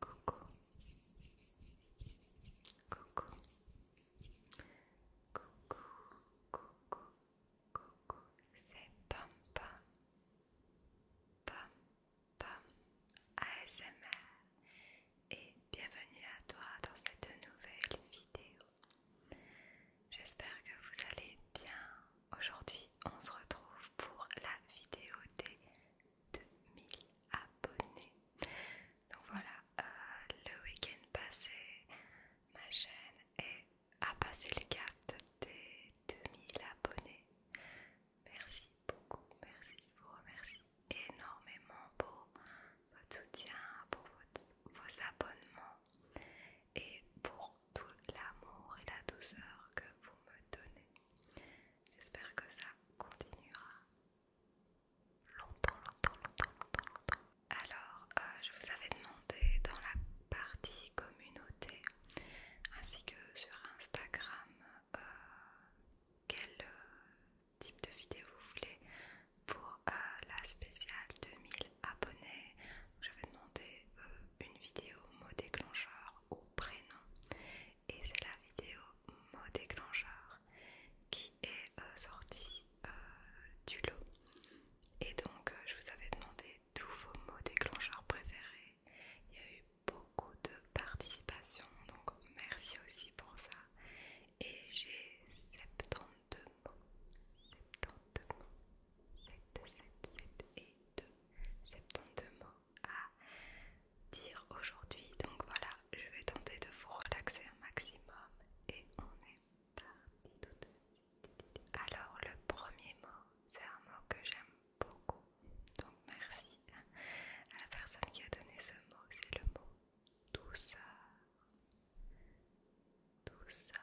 Coucou. Coucou. Coucou. Coucou. C'est Pom Pam. Pam ASMR. Et bienvenue à toi dans cette nouvelle vidéo. J'espère que vous allez bien, Aujourd'hui, on se retrouve pour la vidéo des 2000 abonnés. Donc voilà, euh, le week-end passé, ma chaîne est, a passé le cap des 2000 abonnés. Merci beaucoup, merci, je vous remercie énormément pour votre soutien, pour vos abonnements et pour tout l'amour et la douceur que vous me donnez. J'espère que ça continuera longtemps, longtemps, longtemps, longtemps, Alors, euh, je vous avais demandé dans la partie communauté ainsi que sur Instagram euh, quel euh, type de vidéo vous voulez pour la spéciale 2000 abonnés. Je vais demander une vidéo mot déclencheur au prénom et c'est la vidéo mot déclencheur qui est euh, sortie euh, du lot et donc euh, je vous avais demandé tous vos mots déclencheurs préférés il y a eu beaucoup de participation donc merci aussi pour ça et j'ai 72 mots 72 mots et 2 72 mots à dire aujourd'hui. Donc voilà, je vais tenter de vous relaxer un maximum et on est parti tout de suite. Alors le premier mot, c'est un mot que j'aime beaucoup. Donc merci à la personne qui a donné ce mot, c'est le mot douceur. Douceur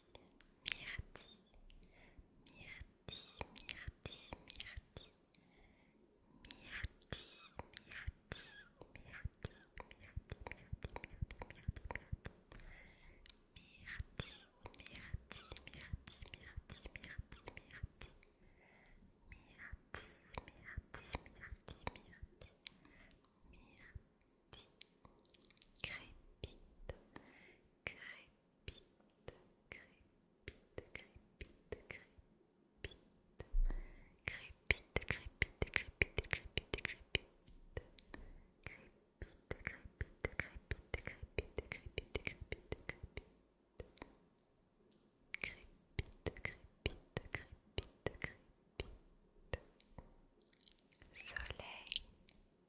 mirti Crépite, crépite, crépite, crépite, crépite, crépite, crépite, crépite, crépite, crépite, crépite, crépite, crépite, crépite, crépite, crépite, crépite, crépite. Crépite, crépite, crépite, crépite. Soleil,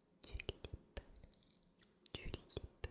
tulipe, tulipe, analytique,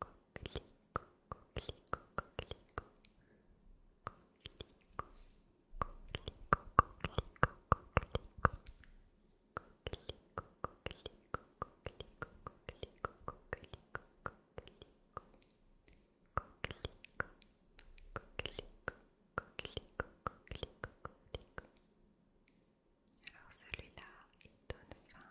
coquelicot, Alors celui-là, donne faim.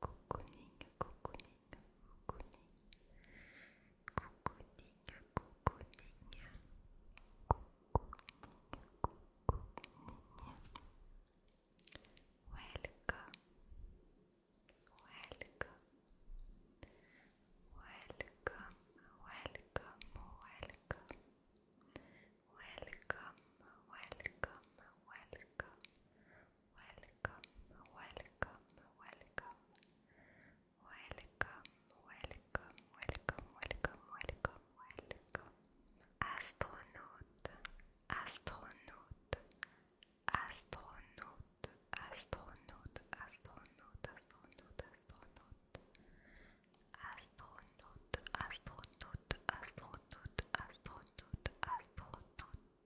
cocooning, cocooning, cocooning, cocooning, cocooning, cocooning. Welcome, welcome, welcome, welcome, welcome. Welcome, welcome, welcome, welcome, welcome, welcome, welcome, welcome, welcome, welcome, welcome, welcome. Astronaute, astronaute, astronaute, astronaute, astronaute, astronaute, astronaute. Astronaute, astronaute, astronaute, astronaute, astronaute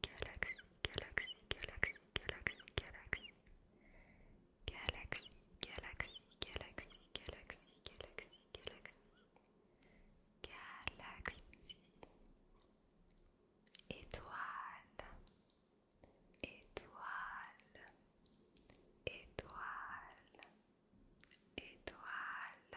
galaxy, galaxy, galaxy, galaxy, galaxy, galaxy, galaxy, galaxy, galaxy, galaxy, galaxy, galaxy, étoile, étoile, étoile, étoile. Étoile,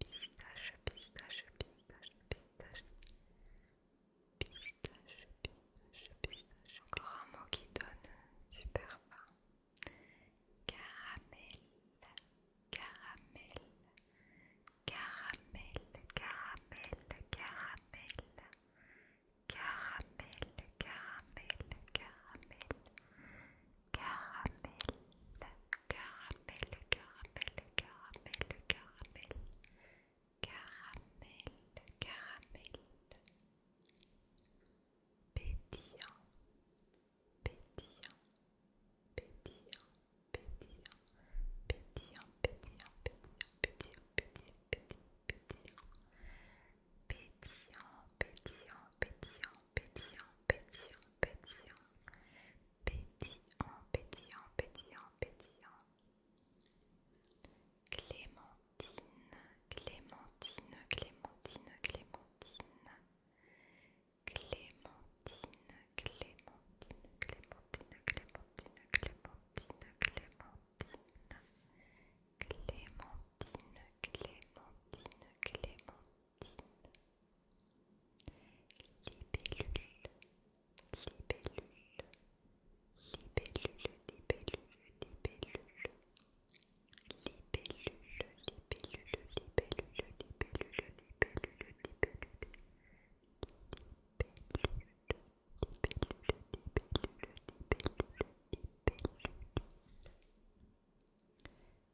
pistache, pistache, pistache, pistache, pistache, pistache, pistache. Encore un mot qui donne super fin. caramel, caramel, caramel, caramel, caramel, caramel, caramel. Caramel, caramel, caramel, caramel, caramel, caramel, caramel, caramel, pétillant, pétillant, pétillant, pétillant, pétillant, pétillant, pétillant, pétillant, pétillant, pétillant, pétillant, pétillant, pétillant, pétillant, pétillant, pétillant, pétillant, pétillant, pétillant. Clémentine, Clémentine, Clémentine, Clémentine. Clémentine, Clémentine, Clémentine, Clémentine, Clémentine, Clémentine. Clémentine, Clémentine, Clémentine libellule, libellule, libellule, libellule, libellule. Libellule, libellule, libellule, libellule, libellule, libellule. Libellule, libellule, libellule, libellule, libellule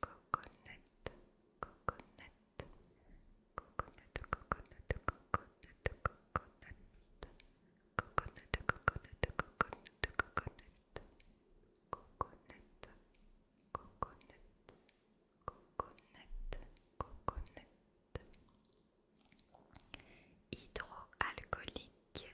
Coconnette, coconnette, Coconnette, coconut, Coconnette, coconut, coconut, Coconnette, coconut, coconut, Coconnette, coconut, coconut, coconut, hydroalcoolique,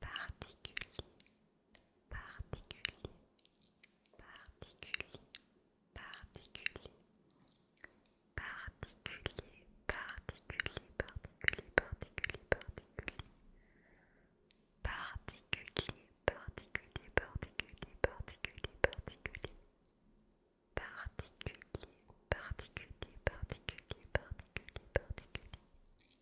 particulier, particulier, particulier, particulier, particulier, particulier, particulier, particulier, particulier. Particulier, particulier, particulier, particulier, particulier. Particulier, particulier, particulier, particulier, particulier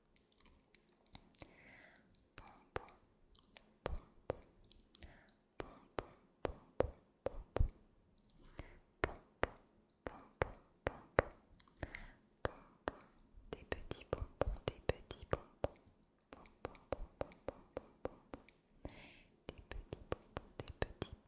des petits bonbons, des petits bonbons, des petits bonbons, des petits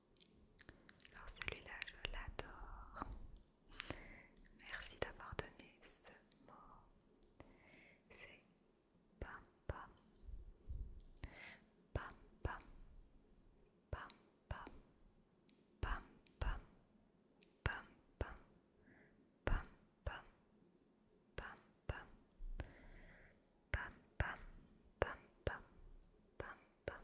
alors celui-là, je l'adore. Merci d'avoir donné ce mot. C'est pam pam. Pam pam. Pam pam. Pam pam. Pam pam. Pam pam. Pam pam. Pam pam. Pam pam. Pam pam. Pam pam.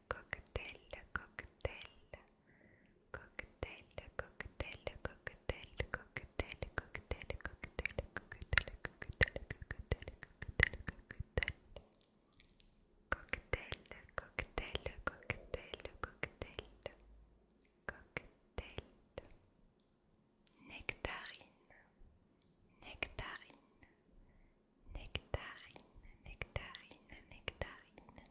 cocktail, cocktail, cocktail, cocktail, cocktail, cocktail, cocktail, cocktail, cocktail, cocktail, cocktail, cocktail, cocktail, cocktail, cocktail, cocktail, nectarine, nectarine, nectarine, nectarine, nectarine,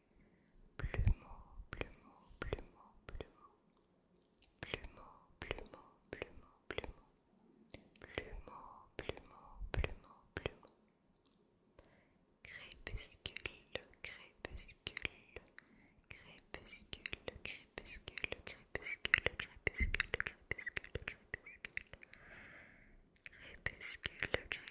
Plumeau, plumeau, plumeau, plumeau. Plumeau, plumeau, Crépuscule, crépuscule. Crépuscule, crépuscule, crépuscule, crépuscule, crépuscule, crépuscule. Crépuscule, crépuscule,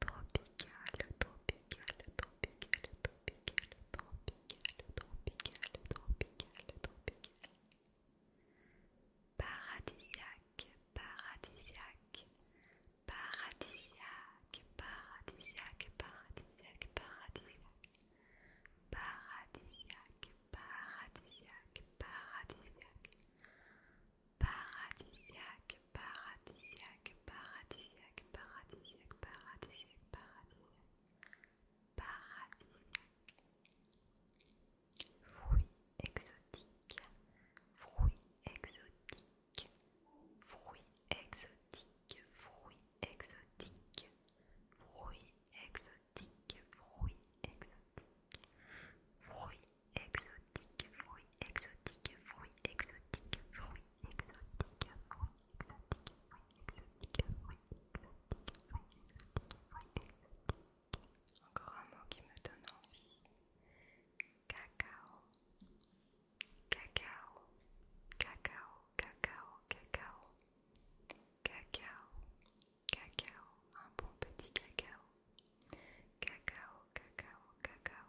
tropical, tropical, tropical, tropical, tropical, tropical, tropical, tropical. Paradisiaque, paradisiaque, paradisiaque, paradisiaque, paradisiaque, paradisiaque, paradisiaque, paradisiaque, paradisiaque, paradisiaque, paradisiaque, paradisiaque, paradisiaque, paradisiaque, paradisiaque, paradisiaque. Fruits exotiques, fruits exotiques, fruits exotiques, fruits exotiques, fruits exotiques, fruits exotiques, fruits Exotique fruits exotique fruit, exotique fruit, exotique fruit, exotique fruit, exotique fruit, exotique Encore un mot qui me donne envie. Cacao, cacao, cacao, cacao, cacao, cacao, cacao, un bon petit cacao. Cacao, cacao, cacao,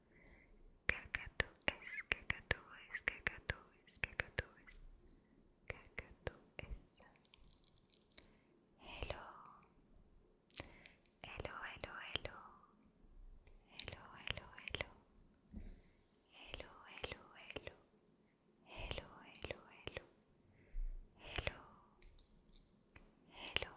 Cacatúes, cacatúes, cacatúes, cacatúes, cacatúes. Hello, hello, hello, hello, hello, hello, hello, hello, hello, hello, hello, hello, hello, hello, hello.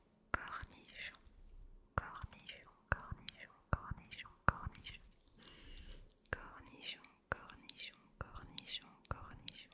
cornichon, cornichon, cornichon, cornichon, cornichon, cornichon, cornichon, cornichon, cornichon,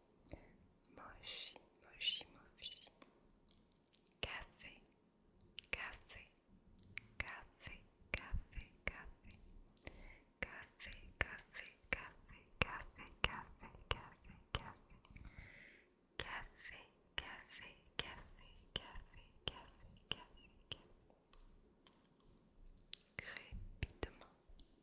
mochi, mochi, mochi. Café, café, café, café, café. Café, café, café, café, café, café, café. Café, café, café, café, café, café, café.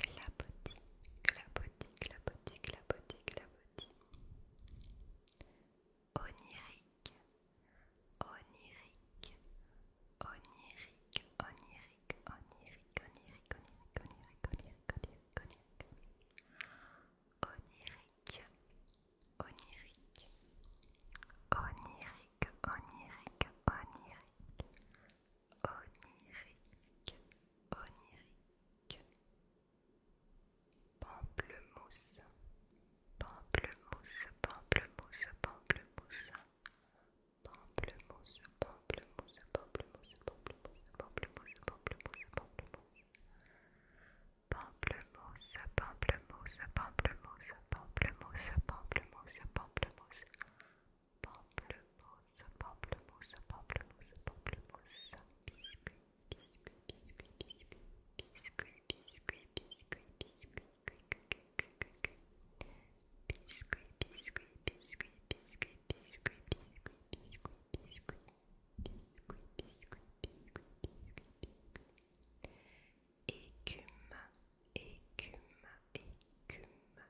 clapotis, clapotis, clapotis, clapotis, clapotis. Onirique, onirique, onirique, onirique, onirique, onirique, onirique, onirique, onirique, onirique, onirique, onirique, onirique, onirique, onirique, onirique, onirique, onirique, pamplemousse, pamplemousse, pamplemousse, pamplemousse, pamplemousse, pamplemousse, pamplemousse, pamplemousse, pamplemousse, pamplemousse, pamplemousse. Pamplemousse, pamplemousse, pamplemousse, pamplemousse, pamplemousse, pamplemousse, pamplemousse, pamplemousse, biscuit, biscuit, écume,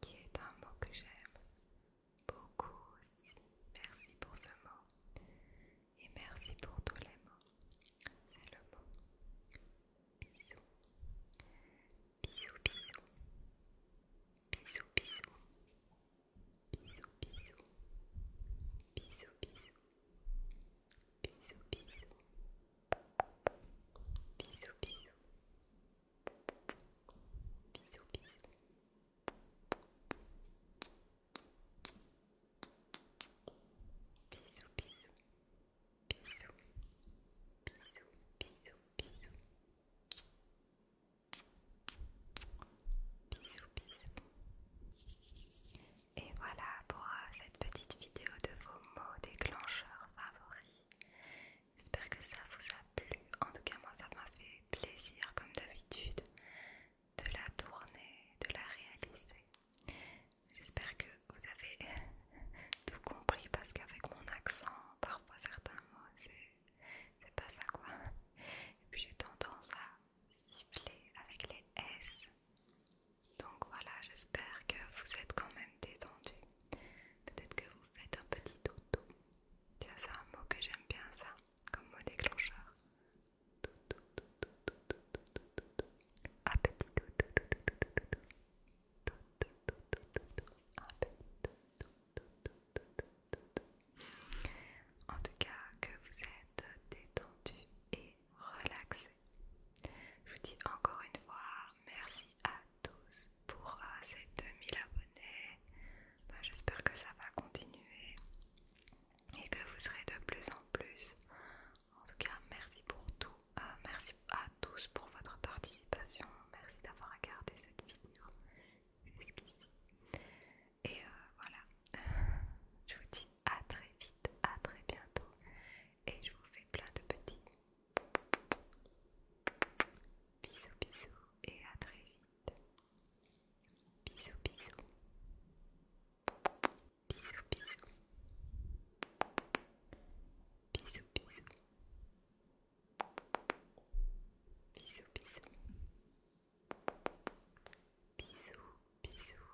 qui est un mot que j'aime beaucoup aussi. Merci pour ce mot et merci pour tous les mots. C'est le mot bisous. Bisous, bisous. Bisous, bisous. Bisous, bisous. Bisous, bisous. Bisous, bisous. Bisous, bisous. Bisous, bisous. Bisous, bisous. Bisous, bisous. Bisous. Bisous, bisous, bisous. Bisous, bisous. Et voilà pour euh, cette petite vidéo de vos mots déclencheurs favoris. J'espère que ça vous a plu. En tout cas, moi, ça m'a fait plaisir, comme d'habitude, de la tourner, de la réaliser. J'espère que vous avez tout compris parce qu'avec mon accent, parfois certains mots, c'est pas ça quoi. Et puis j'ai tendance à siffler avec les S. Donc voilà, j'espère que vous êtes quand même détendus. Peut-être que vous faites un petit toutou. Tiens, c'est un mot que j'aime bien ça, comme mot déclencheur. Toutou, toutou, toutou, toutou, toutou. Un petit toutou, toutou, toutou, toutou. Toutou, toutou, toutou, un petit toutou, toutou, toutou, En tout cas, que vous êtes détendu et relaxé. Je vous dis encore une fois merci à tous pour euh, ces 2000 abonnés. Bah, j'espère que ça va continuer et que vous serez de plus en plus. En tout cas, merci pour tout. Euh, merci à tous pour votre participation. Merci d'avoir regardé cette vidéo jusqu'ici. Et euh, voilà, je vous dis à très vite, à très bientôt. Et je vous fais plein de petits Bisous bisous et à très vite. Bisous bisous. Bisous bisous. Bisous bisous. Bisous bisous. Bisous bisous.